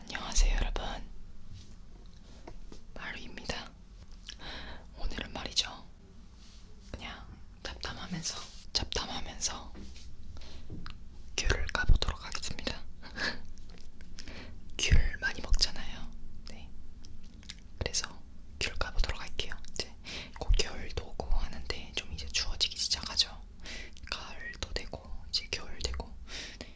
안녕하세요 여러분 마루입니다 오늘은 말이죠 그냥 잡담하면서 잡담하면서 귤을 까보도록 하겠습니다 귤 많이 먹잖아요 네 그래서 귤 까보도록 할게요 이제 곧 겨울도 오고 하는데 좀 이제 추워지기 시작하죠 가을도 되고 이제 겨울 되고 네.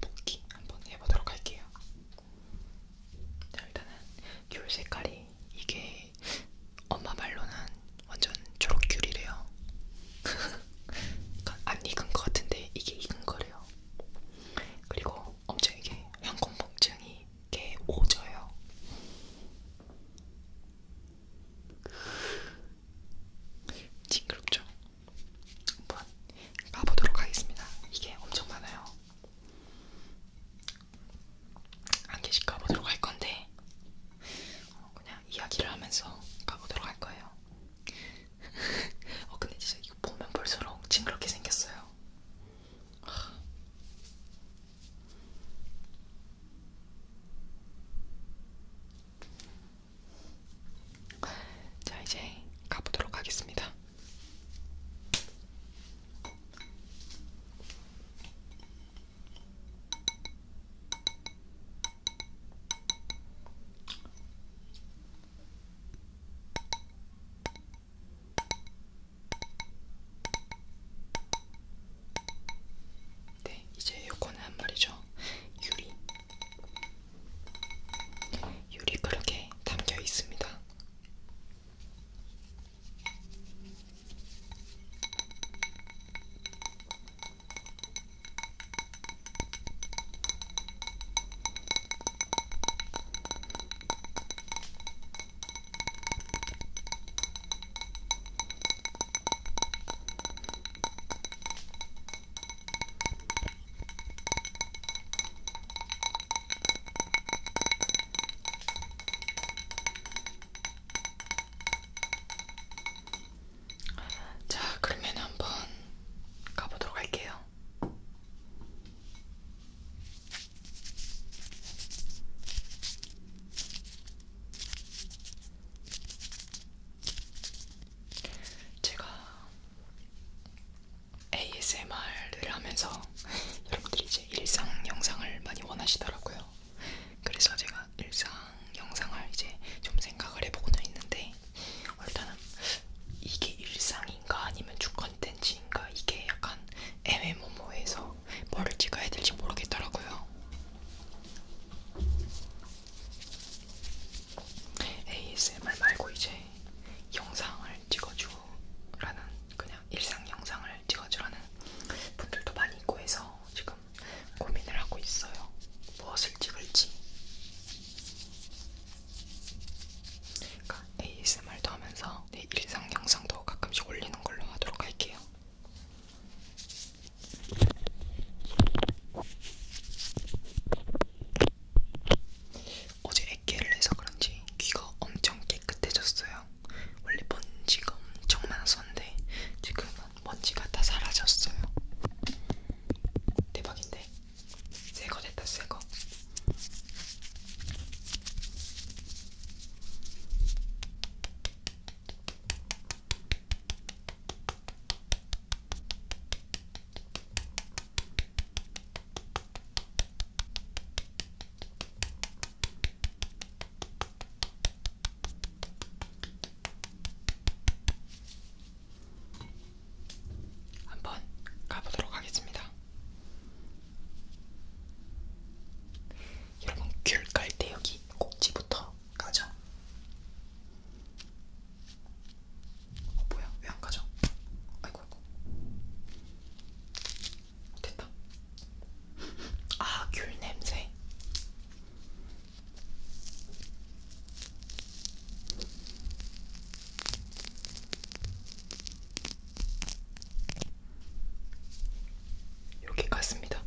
뽑기 한번 해보도록 할게요. 자 일단은 귤 색깔이 이게 엄마 말로는 완전 초록 귤이래요. 안 익은 것 같은데 이게 익은 거래요. 그리고 엄청 이게 향공복증이 개 오져요. 징그럽죠? 한번 가보도록 하겠습니다. 이게 엄청 많아요. 한 개씩 가보도록 할 건데 어, 그냥 이야기를 하면서 가보도록 할 거예요. 어 근데 진짜 이거 보면 볼수록 징그럽게 생겼어요. 자, 이제 가보도록 하겠습니다. 네, 이제 요거는 한 마리죠. 유리. 유리 그릇에 담겨 있습니다. 자, 그러면 한번 가보도록 할게요. 제가 ASMR을 하면서 여러분들이 이제 일상 영상을 많이 원하시더라고요. 그래서 제가 일상 영상을 이제 좀 생각을 해보고는 있는데 일단은 이게 일상인가 아니면 주 컨텐츠인가 이게 약간 애매모호해서 뭐를 찍어야 될지 모르겠더라고요. ASMR 말고 이제 영상을 찍어주라는 그냥 일상 영상을 찍어주라는 분들도 많이 있고 해서 지금 고민을 하고 있어요. 무엇을 찍을지. 그러니까 ASMR도 하면서 내 일상 영상도 가끔씩 올리는 걸로 하도록 할게요. 어제 액기를 해서 그런지 귀가 엄청 깨끗해졌어요. 원래 먼지가 엄청 많았었는데 지금은 먼지가 다 사라졌어요. 대박인데? 새거 됐다 새거. 한번 가보도록 하겠습니다. 여러분 귤 깔 때 여기 꼭지부터 가죠. 어, 뭐야? 왜 안 가져? 아이고, 아이고. 됐다. 아, 귤 냄새. 이렇게 갔습니다.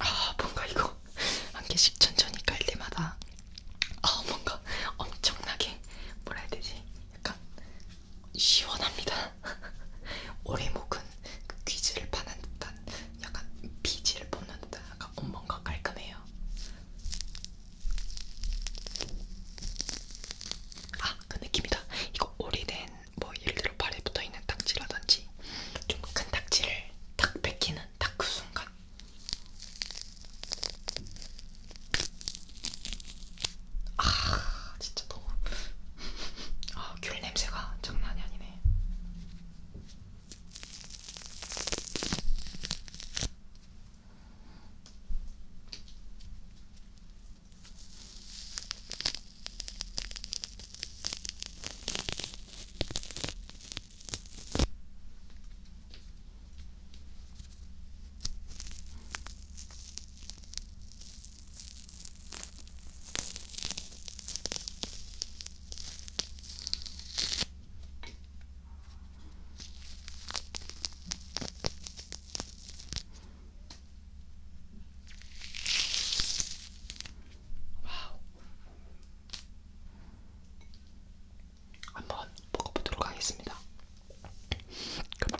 아 뭔가 이거 한 개씩 천천히 깔 때마다 아 뭔가 엄청나게 뭐라 해야 되지 약간 시원합니다. 오래 묵은 그 귀지를 파는 듯한 약간 비지를 뽑는 듯한 약간 뭔가 깔끔해요. 아, 그 느낌이다. 이거 오래된 뭐 예를 들어 발에 붙어 있는 딱지라든지 좀 큰 딱지를 딱 뺏기는 딱 그 순간. 아 진짜 너무 아 귤 냄새가 장난이 아니네. 와우. 한번 먹어보도록 하겠습니다. 그럼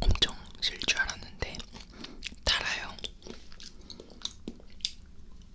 엄청 실줄 알았는데 달아요.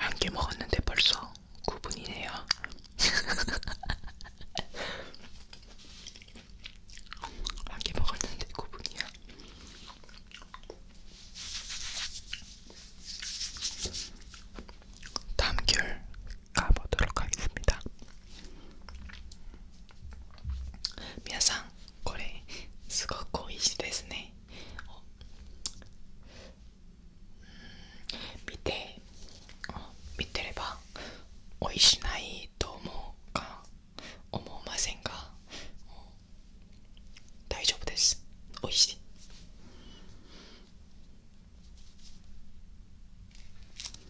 한개 먹었는데 벌써 9분이네요. 한 개 먹었는데 9분이야. 담귤 가보도록하겠습니다皆さん、これすごく美味しいですね。見て、見てれば美味しないと思うか思いませんか。大丈夫です。美味しい。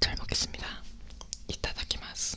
잘 먹겠습니다. 이따 다키마스.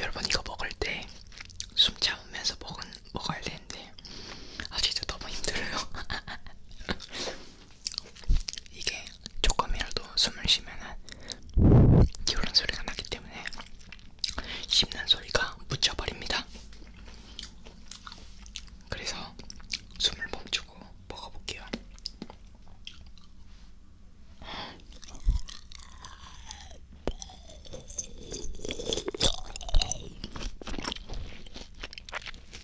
여러분 이거 먹을 때 숨 참으면서 먹은 먹어야 되는데 같아. 아 진짜 너무 힘들어요. 이게 조금이라도 숨을 쉬면은 이런 소리가 나기 때문에 씹는 소리가 묻혀버립니다. 그래서 숨을 멈추고 먹어볼게요.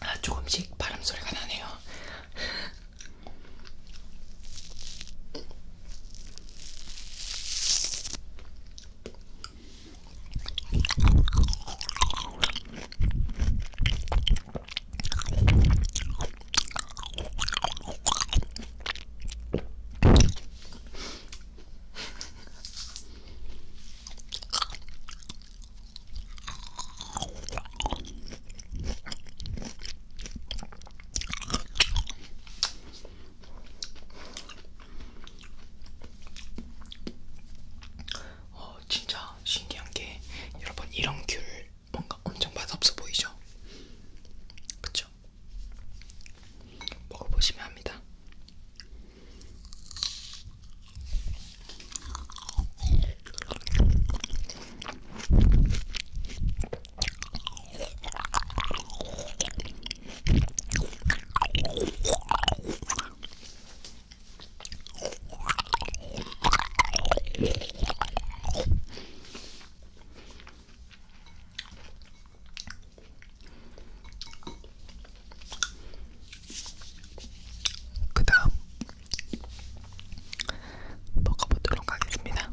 아, 조금씩 바람 소리가 나네요. 어, 진짜 신기한 게 여러분 이런 귤 뭔가 엄청 맛없어 보이죠? 그쵸? 먹어보시면 합니다. 그 다음 먹어보도록 하겠습니다.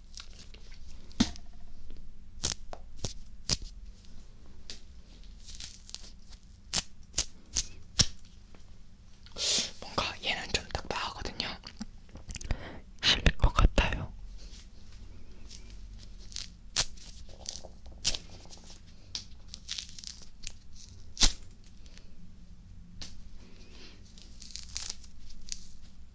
뭔가 얘는 좀 딱딱하거든요. 실릴 것 같아요.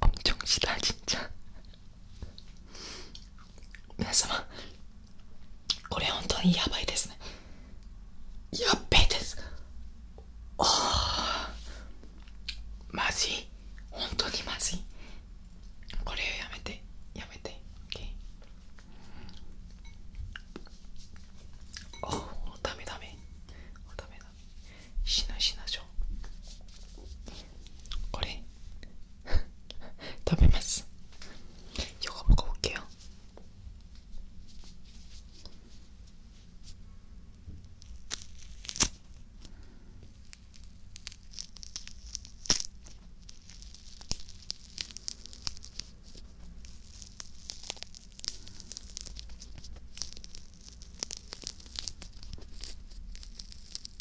엄청 시다 진짜 皆様これ本当にやばいですねやっべえですおまずい本当にまずいこれをやめてやめて、おおダメダメおダメダメしなしなしょうこれ 食べます요거 먹어볼게요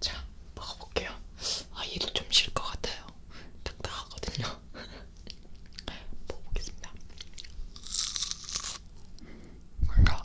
자, 먹어볼게요. 아, 얘도 좀 쉴 것 같아요. 딱딱하거든요. 먹어보겠습니다. 뭔가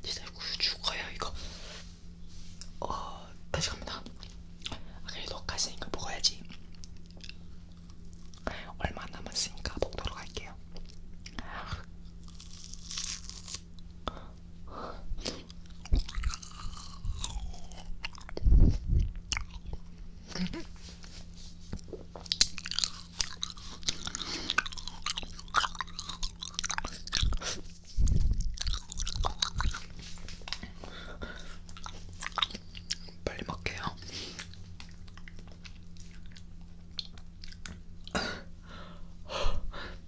진짜 죽어요 이거. 어 다시 갑니다. 아, 그래도 갔으니까 먹어야지. 얼마 남았으니까 먹도록 할게요. 빨리 먹게요.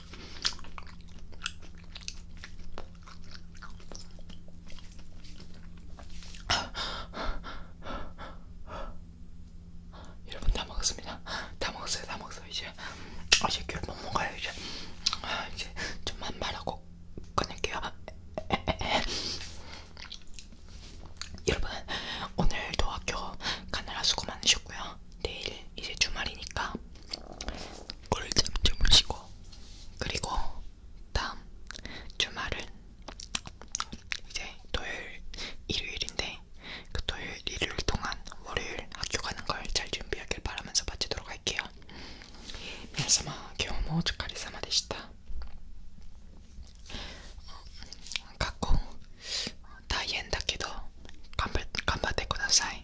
여러분 다 먹었습니다. 다 먹었어요. 다 먹었어요. 이제 이제 귤못 먹어요. 이제 아, 이제 좀만 말하고 끊을게요. 여러분 오늘도 학교 가느라 수고 많으셨고요. 내일 이제 주말이니까 꿀잠 주무시고 그리고 다음 주말은 이제 토요일 일요일인데 그 토요일 일요일 동안 월요일 학교 가는 걸 잘 준비하길 바라면서 마치도록 할게요. 미나사마 겨우모 오츠카리사마 데시타 갖고 다이엔 다기도 간바테 쿠다사이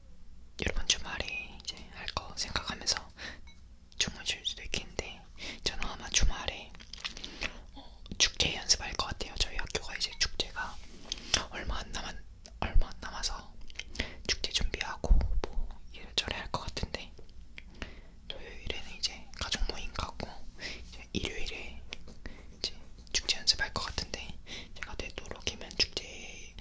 여러분 주말에 이제 할 거 생각하면서 주무실 수도 있겠는데 저는 아마 주말에 어, 축제 연습할 것 같아요. 저희 학교가 이제 축제가 얼마 안 남았 얼마 안 남아서 축제 준비하고 뭐 이래저래 할것 같은데 토요일에는 이제 가족 모임 가고 이제 일요일에 이제 축제 연습할 것 같은데 제가 되도록이면 축제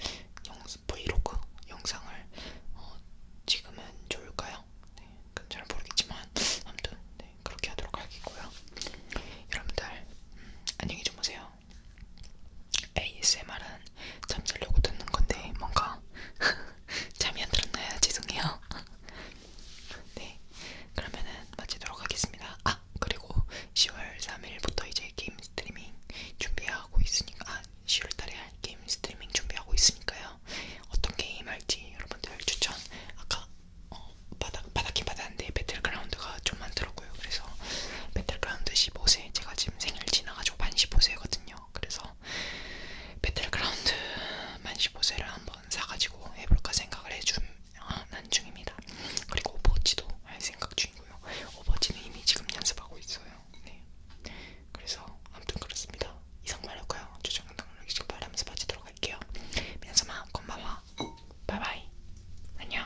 영 브이로그 영상을 어, 찍으면 좋을까요? 네, 잘 모르겠지만 아무튼 네, 그렇게 하도록 하겠고요. 여러분들 음, 안녕히 주무세요. ASMR은 잠들려고 듣는 건데 뭔가 잠이 안 들었나요? 죄송해요. 네, 그러면은 마치도록 하겠습니다. 아 그리고 10월 3일부터 이제 이제 게임 스트리밍 준비하고 있으니까 아 10월달에 할 게임 스트리밍 준비하고 있으니까요. 어떤 게임 할지 여러분들 추천 아까 어, 바닥 바닥긴 받았는데 배틀그라운드가 좀 많더라고요. 그래서 배틀그라운드 15세 제가 지금 생일 지나가지고 만 15세거든요. 그래서 배틀그라운드 만 15세를 한번 사가지고 해볼까 생각을 해준 난 중입니다. 그리고 오버워치도 할 생각 중. 아니고요. 오버지는 이미 지금 연습하고 있어요. 네. 그래서 아무튼 그렇습니다. 이상 말할까요? 조정 동력이 지금 바라면서 빠지도록 할게요. 민서마 건바와 바이바이 안녕.